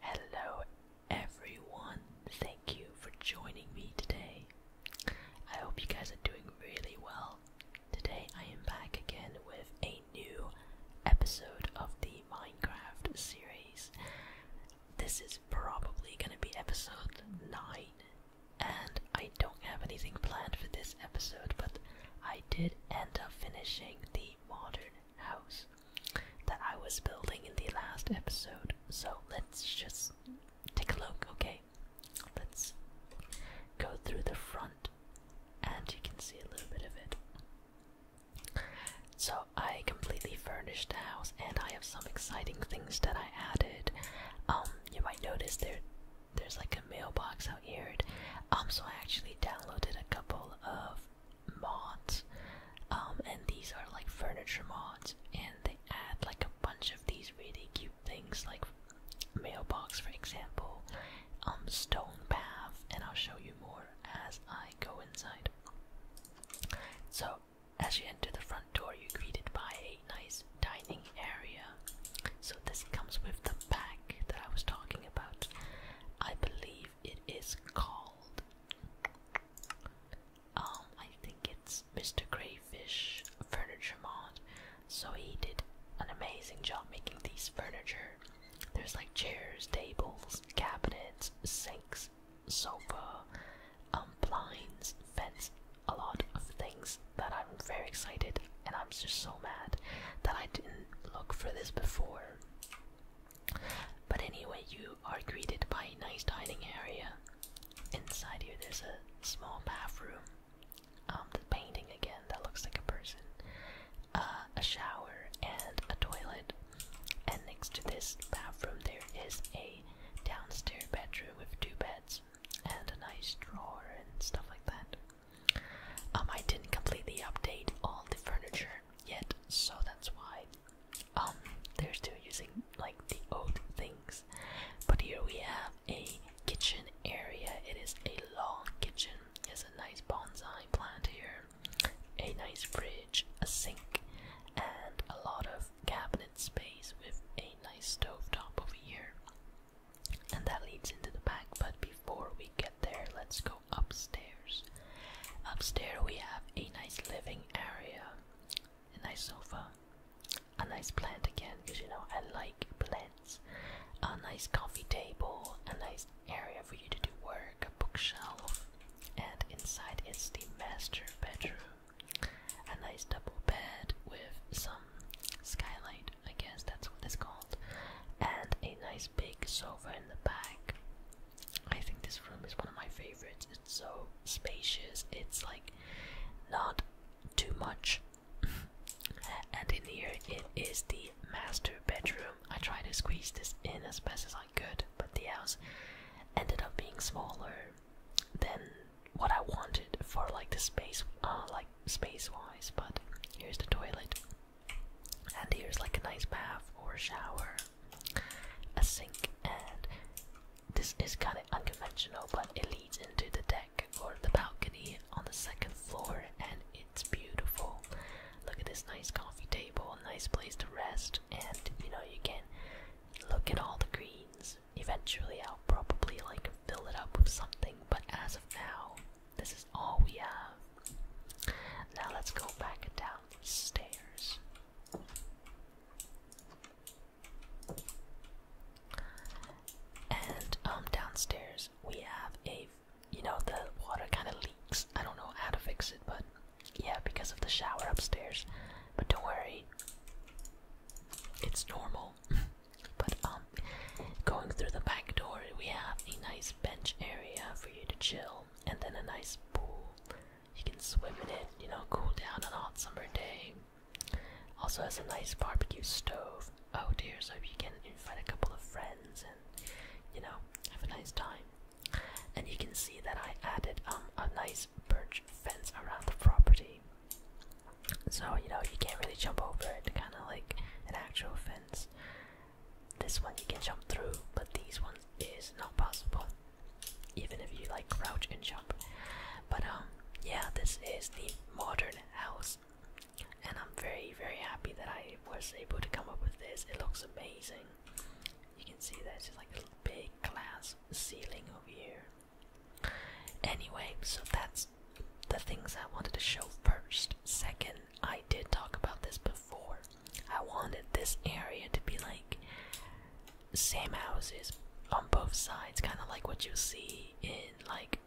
Hello, everyone. Thank you for joining me today. I hope you guys are doing really well. Today, I am back again with a new episode of the Minecraft series. This is probably going to be episode 9, and I don't have anything planned for this episode, but I did end up finishing the modern house that I was building in the last episode. So let's just take a look, okay? Let's go through the front and you can see a little bit of it. So I completely furnished the house and I have some exciting things that I added. Um you might notice there there's like a mailbox out here. Um so I actually downloaded a couple of mods, um, and these are like furniture mods, and they add like a bunch of these really cute things, like mailbox, for example, um, stone path, and I'll show you more as I go inside. So, as you enter the front door, you're greeted by a nice dining area. So, this comes with the pack that I was talking about. I believe it is called. Um, I think it's Mr. Crayfish Furniture Mod. So he did an amazing job making these furniture. There's like chairs, tables, cabinets, sinks, sofa, um, blinds, vents, a lot of things that I'm very excited and I'm just so mad that I didn't look for this before. But anyway, you are greeted by a nice dining area. Inside here, there's a small bathroom. Um, the painting again that looks like a person. Uh, a shower and a toilet. And next to this bathroom, there is a downstairs bedroom with two beds and a nice drawer and stuff like that. Um, I didn't completely update all the furniture yet, so that's why um they're still using like the old things. But here we have a kitchen area. It is a long kitchen. There's a nice bonsai plant here, a nice fridge, a sink, and a lot of cabinet space with a nice stove top over here. And that leads into the back, but before we get there, let's go upstairs. Upstairs, we have a nice living area, a nice sofa, a nice plant again, because you know I like plants, a nice coffee table, a nice area for you to do work, a bookshelf, and inside is the master bedroom. A nice double bed with some skylight, I guess that's what it's called, and a nice big sofa over in the back. I think this room is one of my favorites. It's so spacious, it's like not too much. and in here, it is the master bedroom. I tried to squeeze this in as best as I could, but the house ended up being smaller than what I wanted for like the space, uh, like space wise. But here's the toilet. And here's like a nice bath or shower, a sink, and this is kind of unconventional, but it leads into the deck or the balcony on the second floor, and it's beautiful. Look at this nice coffee table, nice place to rest, and you know, you can look at all the greens. Eventually, I'll probably like fill it up with something, but as of now, this is all we have. Now let's go back down the stairs. And um downstairs we have a you know the water kind of leaks. I don't know how to fix it, but yeah, because of the shower upstairs. But don't worry. It's normal. but um going through the back door, we have a nice bench area for you to chill and then a nice pool. You can swim in it, you know, cool down on a hot summer day. Also has a nice barbecue stove. Oh dear, so you can invite a couple of friends and, you know, have a nice time. And you can see that I added um, a nice birch fence around the property. So, you know, you can't really jump over it, kind of like an actual fence. This one you can jump through, but these one is not possible. Even if you like crouch and jump. But um yeah, this is the modern house. And I'm very very happy that I was able to come up with this. It looks amazing. You can see that it's like a big glass ceiling over here. Anyway, so that's the things I wanted to show first. Second, I did talk about this before. I wanted this area to be like same houses on both sides, kind of like what you see in like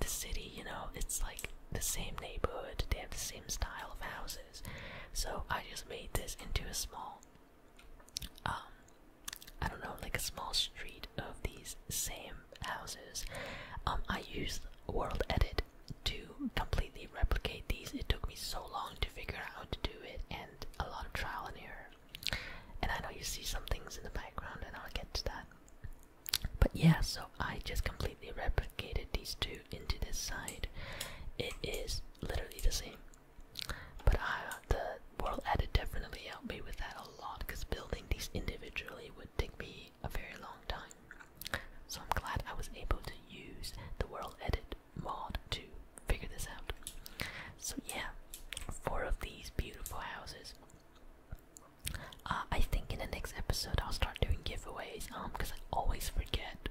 the city, you know, it's like the same neighborhood, they have the same style of houses. So I just made this into a small um I don't know, like a small street of these same houses. Um I used World Edit to completely replicate these. It took me so long to figure out how to do it and a lot of trial and error. And I know you see some things in the background and I'll get to that. But yeah, so I just completely replicated these two into this side. It is literally the same. But I, the world added definitely helped me with that a lot because building these individually would take me a very long time. So I'm glad I was able to use the World Edit mod to figure this out. So yeah, four of these beautiful houses. Uh, I think in the next episode I'll start doing giveaways, um, because I always forget.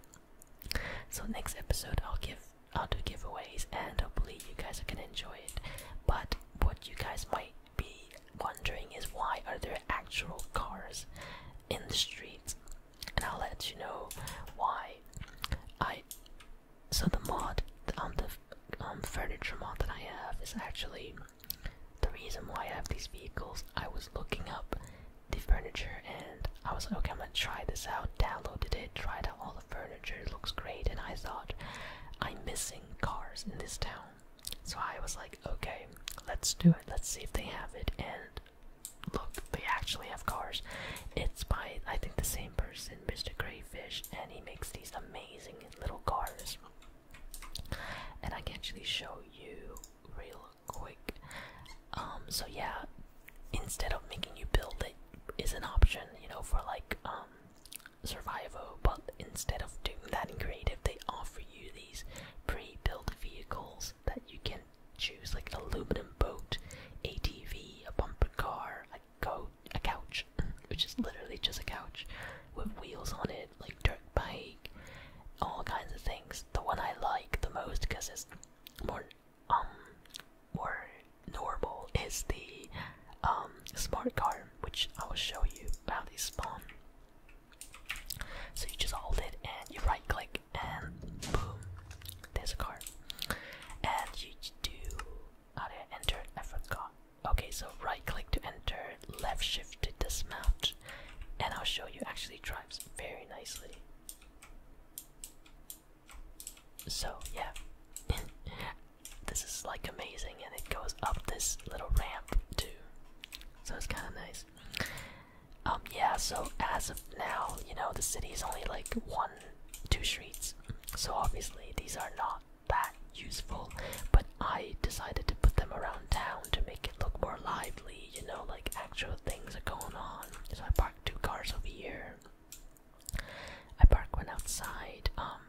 So next episode I'll give I'll do giveaways and hopefully you guys are gonna enjoy it. But what you guys might be wondering is why are there actual cars in the streets, and I'll let you know why. I so the mod on the um, um, furniture mod that I have is actually the reason why I have these vehicles. I was looking up the furniture and I was like, okay, I'm gonna try this out. Downloaded it, tried out all the furniture. It looks great, and I thought I'm missing cars in this town. So I was like, okay, let's do it. Let's see if they have it. And Look, they actually have cars. It's by I think the same person, Mr. Grayfish, and he makes these amazing little cars. And I can actually show you real quick. Um, so yeah, instead of making you build it is an option, you know, for like um, survival, but instead of doing that in creative, they offer you these pre-built vehicles that you can choose like an aluminum boat, ATV, a bumper car, a coat, a couch, which is literally just a couch with wheels on it, like dirt bike, all kinds of things. The one I like the most because it's more um more normal is the um smart car, which I will show you how they spawn. So you just hold it and you right click and boom, there's a card. And you do how do I enter? I forgot. Okay, so right click to enter, left shift to dismount, and I'll show you actually drives very nicely. So yeah, this is like amazing, and it goes up this little ramp too, so it's kind of nice. Um, yeah, so as of now, you know, the city is only like one, two streets, so obviously these are not that useful, but I decided to put them around town to make it look more lively, you know, like actual things are going on. So I parked two cars over here. I parked one outside, um,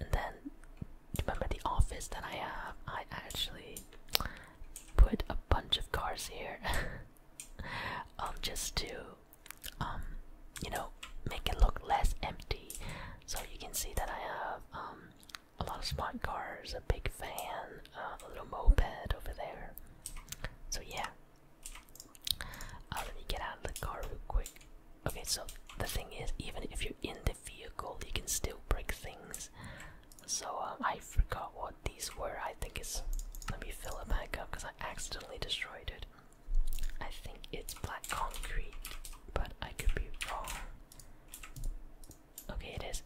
and then remember the office that I have? I actually put a bunch of cars here um, just to um, you know make it look less empty so you can see that I have um, a lot of spot cars a big van uh, a little moped over there so yeah uh, let me get out of the car real quick okay so the thing is even if you're in the vehicle you can still break things so um, I forgot what these were. I think it's. Let me fill it back up because I accidentally destroyed it. I think it's black concrete, but I could be wrong. Okay, it is.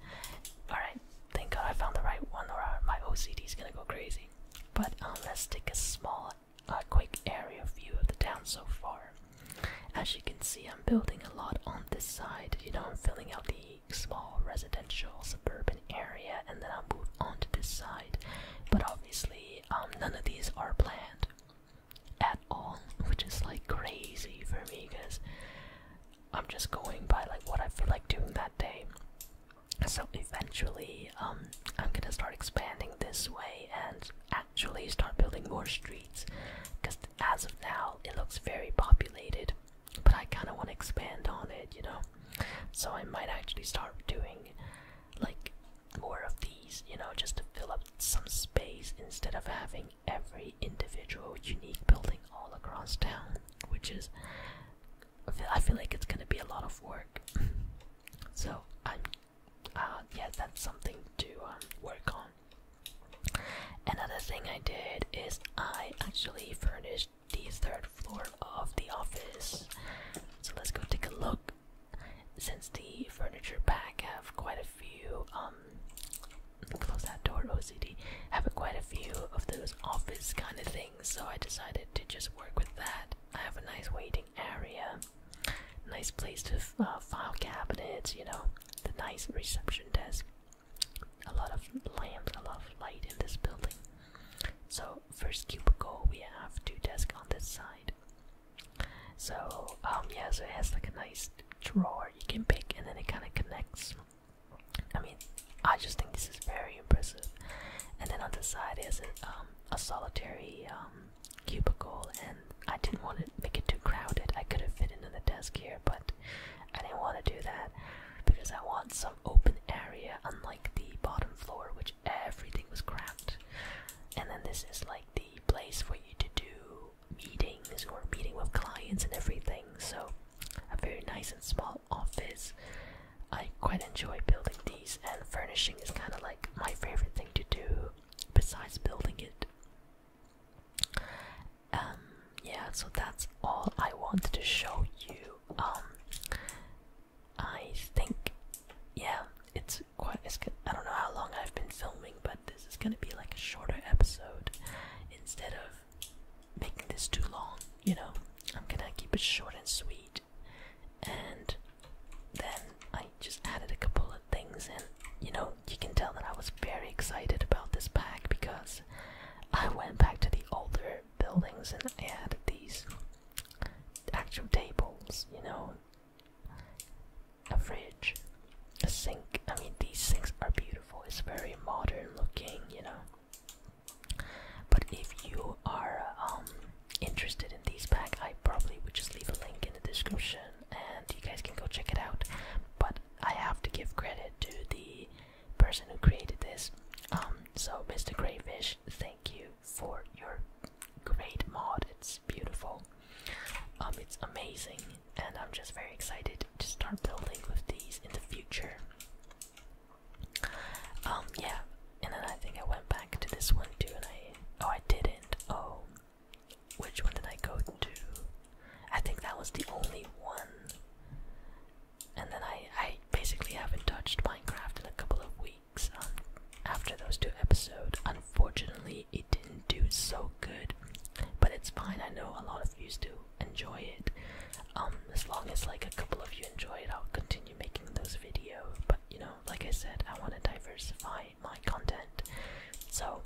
Alright, thank god I found the right one or my OCD is gonna go crazy. But um, let's take a small, uh, quick area view of the town so far. As you can see, I'm building a lot on this side. You know, I'm filling out the small residential suburban area and then I'll move on to this side. But obviously, um, none of these are planned at all, which is like crazy for me because I'm just going by like what I feel like doing that day. So eventually, um, I'm gonna start expanding this way and actually start building more streets because as of now, it looks very populated but I kind of want to expand on it, you know. So I might actually start doing like more of these, you know, just to fill up some space instead of having every individual unique building all across town, which is I feel, I feel like it's gonna be a lot of work. so I'm, uh, yeah, that's something to um, work on. Another thing I did is I actually furnished the third floor of the office. So let's go take a look. Since the furniture pack have quite a few, um, close that door, OCD, have quite a few of those office kind of things, so I decided to just work with that. I have a nice waiting area, nice place to uh, file cabinets, you know, the nice reception desk a lot of lamps, a lot of light in this building. So first cubicle, we have two desks on this side. So um yeah, so it has like a nice drawer you can pick, and then it kind of connects. I mean, I just think this is very impressive. And then on this side is a, um, a solitary um, cubicle, and I didn't want to make it too crowded. I could have fit into the desk here, but I didn't want to do that because I want some open area, unlike the bottom floor, which everything was cramped. And then this is like the place for you to do meetings or meeting with clients and everything. So, a very nice and small office. I quite enjoy building these, and furnishing is kind of like my favorite thing to do besides building it. Um, yeah, so that's all I wanted to show you. Um, I think, yeah, it's quite. It's, I don't know how long I've been filming, but this is gonna be like a shorter episode instead of making this too long. You know, I'm gonna keep it short and sweet, and then I just added a couple of things, and you know, you can tell that I was very excited about this pack because I went back to the older buildings and I had these actual tables, you know, a fridge, a sink. I mean, these sinks are beautiful, it's very modern looking, you know. But if you are um, interested in these pack, I probably would just leave a link in the description and you guys can go check it out. But I have to give credit to the person who created this. Um, so Mr. Grayfish, thank you for your great mod. It's beautiful. Um, it's amazing, and I'm just very excited to start building with these in the future. Um, yeah, and then I think I went back to this one too, and I oh I didn't. Oh, which one did I go to? I think that was the only one. And then I, I basically haven't touched Minecraft in a couple of weeks um, after those two episodes. Unfortunately, it didn't do so good, but it's fine. I know a lot of you still enjoy it. Um, as long as like a couple of you enjoy it, I'll continue making those videos. But you know, like I said, I want to diversify my content. So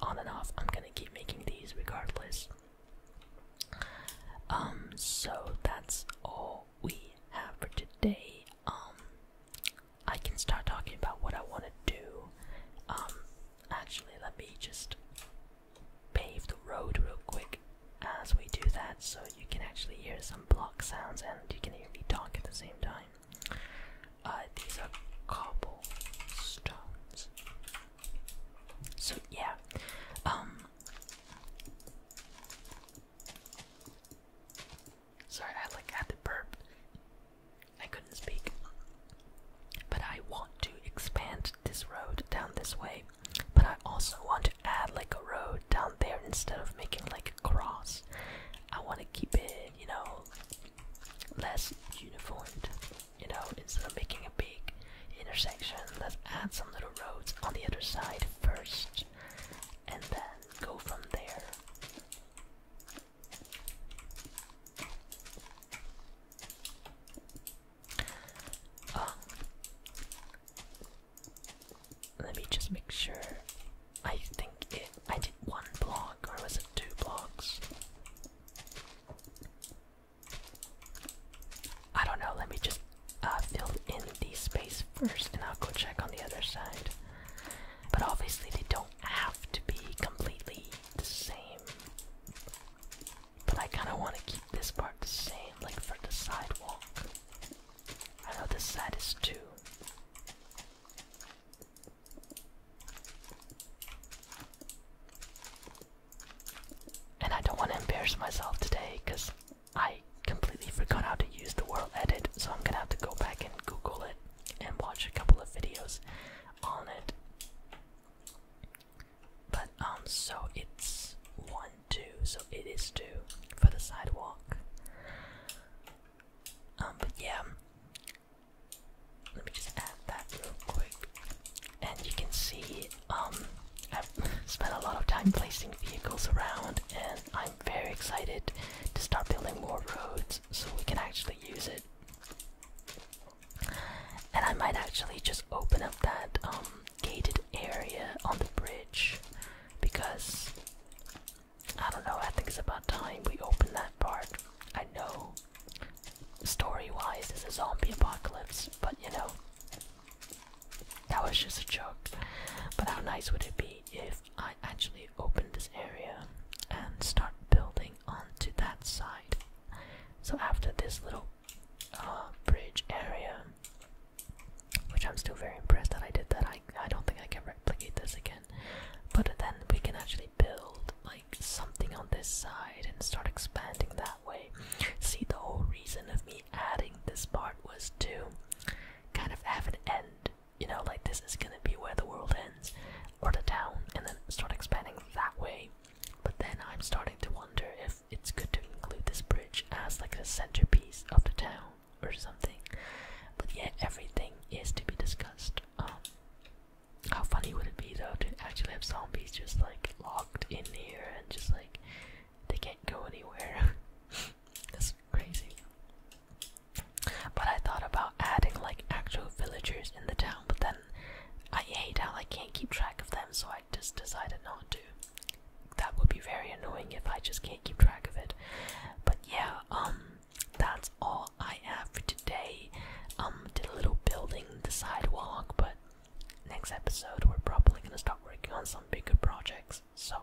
on and off, I'm gonna keep making these regardless. Um, so that's all we have for today. Um, I can start talking about what I want to do. Um, actually, let me just pave the road real quick as we do that so you can actually hear some block sounds and you can hear me talk at the same time. Uh, these are cobblestones. So yeah, um, sorry, I like had to burp. I couldn't speak, but I want to expand this road down this way. But I also want to add like a road down there instead of making like a cross. I want to keep it, you know, less uniformed you know, instead of making a big intersection, let's add some little roads on the other side first and then go from there. Um, let me just make sure. I think I did one block or was it two blocks? I don't know, let me just uh, fill in the space first and I'll go check on the other side. But obviously, they don't have to be completely the same. But I kind of want to keep this part the same, like for the sidewalk. I know this side is too. And I don't want to embarrass myself today because I completely forgot how to use the world edit, so I'm gonna have to go back and Google it and watch a couple of videos on it. But um, so it's one, two, so it is two for the sidewalk. Um, but yeah, let me just add that real quick. And you can see um, I've spent a lot of time placing vehicles around, and I'm very excited to start building more roads so we can actually use it. And I might actually just open up that um, gated area on the bridge because I don't know, I think it's about time we open that part. I know story-wise it's a zombie apocalypse, but you know, that was just a joke. But how nice would it be if I actually open this area and start building onto that side? So after this little uh, bridge area, which I'm still very impressed that I did that, I I don't think I can replicate this again. But then we can actually build like something on this side and start expanding that way. See, the whole reason of me adding this part was to kind of have an end. You know, like this is gonna be where the world ends, or the town, and then start expanding that way. But then I'm starting to wonder if it's good to include this bridge as like the centerpiece of the town or something. But yeah, everything is to be discussed. Um, how funny would it be though to actually have zombies just like locked in here and just like they can't go anywhere? That's crazy. But I thought about adding like actual villagers in the town, but then I hate how I can't keep track of them, so I just decided not to. That would be very annoying if I just can't keep track of it. But yeah, um, that's all I have for today. Um, did a little building the sidewalk, but next episode we're probably gonna start working on some bigger projects. So,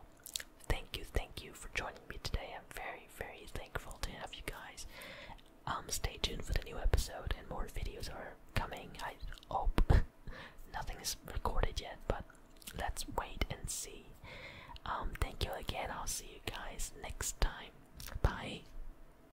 thank you, thank you for joining me today. I'm very, very thankful to have you guys. Um, stay tuned for the new episode, and more videos are coming. I hope nothing is recorded yet, but let's wait and see. Um, thank you again. I'll see you guys next time. Bye.